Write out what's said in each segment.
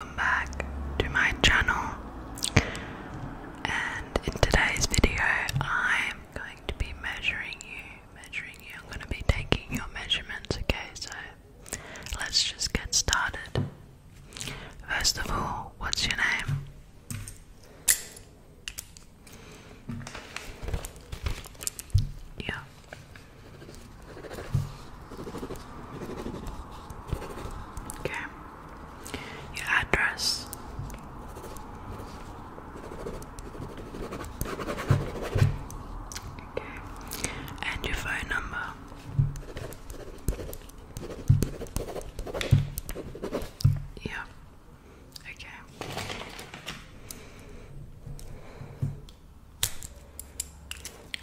Welcome back to my channel and in today's video I'm going to be measuring you, measuring you, I'm going to be taking your measurements, okay, so let's just get started. First of all, what's your name? Yeah. Okay. Your address. Okay. And your phone number. Yeah. Okay.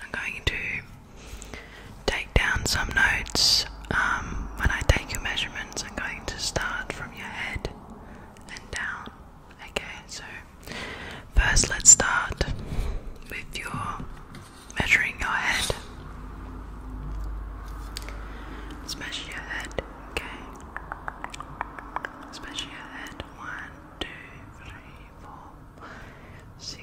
I'm going to take down some notes. Um, when I take your measurements, I'm going to start from your head and down. Okay, so first let's start with your measuring your head. measure your head, okay? measure your head. One, two, three, four, six.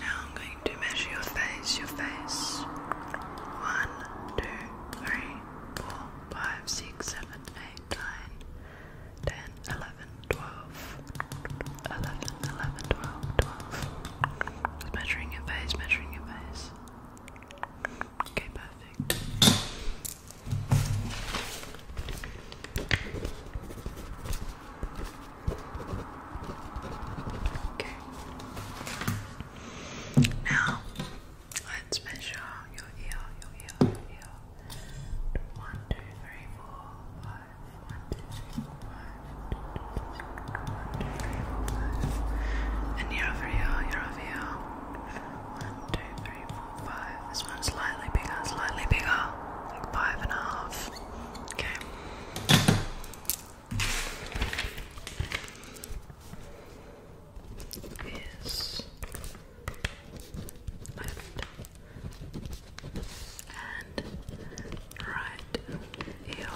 Now I'm going to measure your face, your face. One, two, three, four, five, six, seven, eight, nine, ten, eleven, twelve. Eleven, eleven, twelve, twelve. Measuring your face, measuring your face. Okay, perfect. Okay. Now let's measure your ear, your ear, your ear. One, two, three, four, five. One, two, three, four, five. One, two, three, and you over here, you over here. One, two, three, four, five. This one's slightly bigger, slightly bigger. Like five and a half. Okay. Is left and right ear.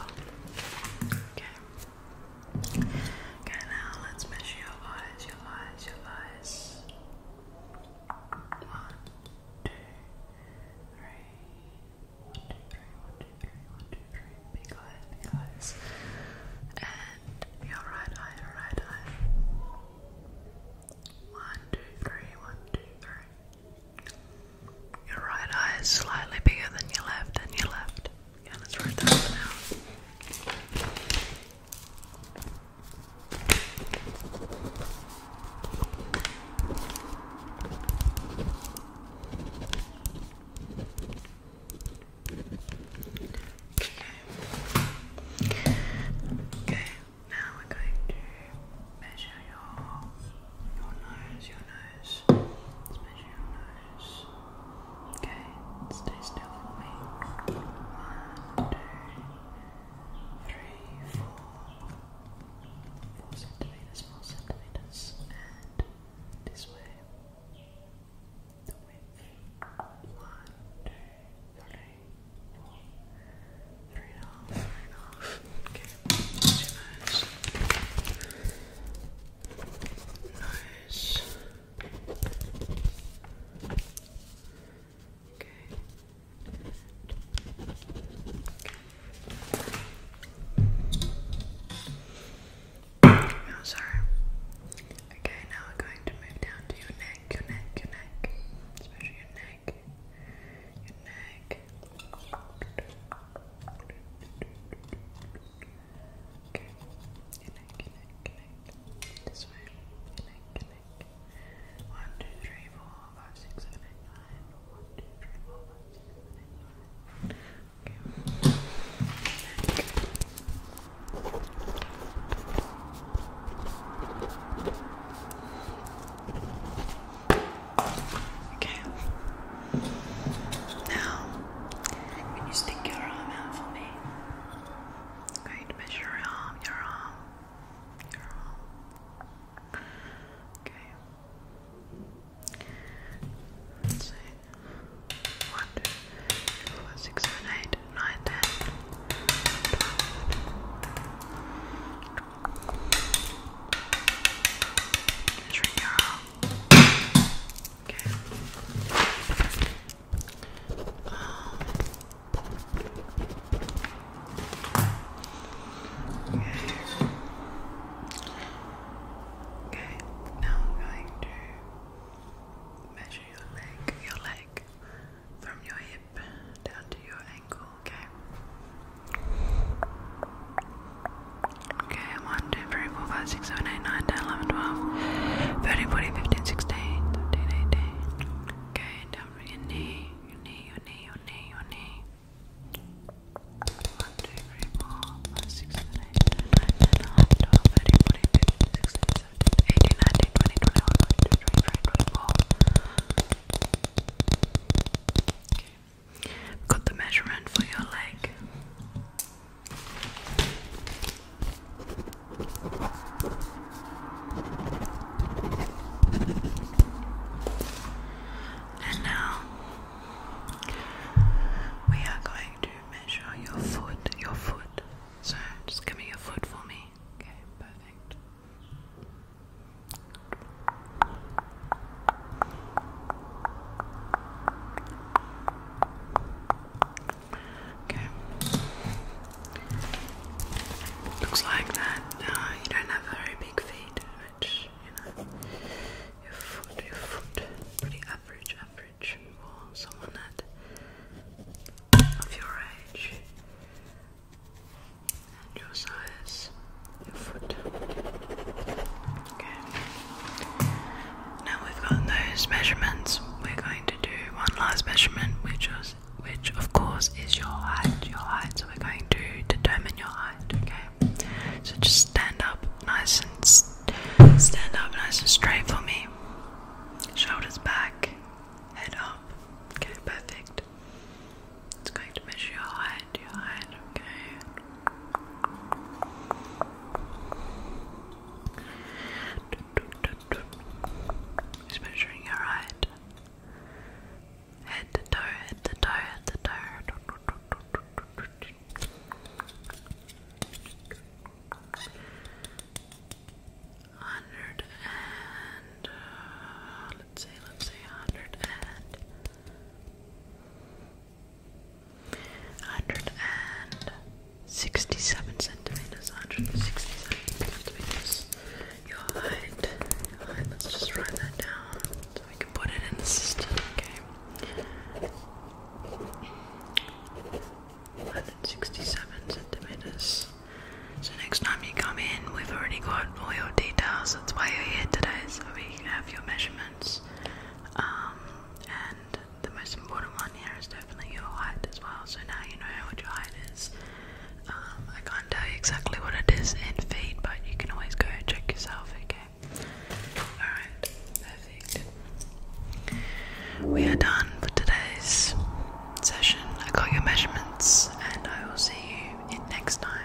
Okay. Okay, now let's measure your eyes, your eyes, your eyes. One, two, three. One, two, three, one, two, three, one, two, three. Big eyes, big eyes. And your right eye, your right eye. One, two, three, one, two, three. Your right eye is slightly bigger than your left, and your left. Yeah, let's write Okay, now we're going to measure your your nose, your nose nose. Especially Okay, stay still One, two, centimeters, four centimeters, and this way. The width. One, two, three, four. Three and a half, three and a half. Okay. Nice. Nice. Okay. Oh, sorry. Okay, now we're going to move down to your neck, your neck, your neck, especially your neck, your neck. Okay. Connect, connect, connect. This way. Connect, connect. One, two, three, four, five, six, seven, eight, nine. One, two, three, four, five, six, seven, eight, nine. Okay. Back. Okay. Now, can you stick your arm out for me? i measure your arm, your arm, your arm. Okay. Let's see. 1, your arm. Okay. Um, Okay, now I'm going to measure your leg, your leg from your hip down to your ankle, okay? Okay, 1, 2, 3, 4, 5, 6, 7, 8, 9, 10, 11, 12, 13, 14, 15, 16, 17, 18. Okay, down from your knee, your knee, your knee, your knee, your knee. 1, 2, 3, 4, 5, 6, 7, 8, 9, 10, 11, 12, 13, 14, 15, 16, 17, 18, 19, 20, 21, 22, 23, 24. Okay, Got the measurement for your leg. And now we are going to measure your foot, your foot. So just give me your foot for me. Okay, perfect. Okay. Looks like that uh, you don't have very big feet, which, you know, your foot, your foot, pretty average, average for someone that of your age and your size your foot. Okay. Now we've gotten those measurements, we're going to do one last measurement, which is, which of course is your height. Your height. So we're going to determine your height. Okay. So just stand up, nice and stand up, nice and straight for me. Shoulders back, head up. Okay, perfect. It's going to measure your height, your height, okay? It's measuring your height. Head to toe, head to toe, head to toe. Hundred and uh, let's say, let's say 100 centimeters, 167 centimeters. Your height, your let's just write that down so we can put it in the system, okay? 167 centimeters. So next time you come in, we've already got all your details that's why you're here today, so we have your measurements. Um, and the most important one here is definitely your height as well. So now you know what your height is. Um, I can't tell you exactly what it is in feet, but you can always go and check yourself. Okay. All right. Perfect. We are done for today's session. I got your measurements, and I will see you next time.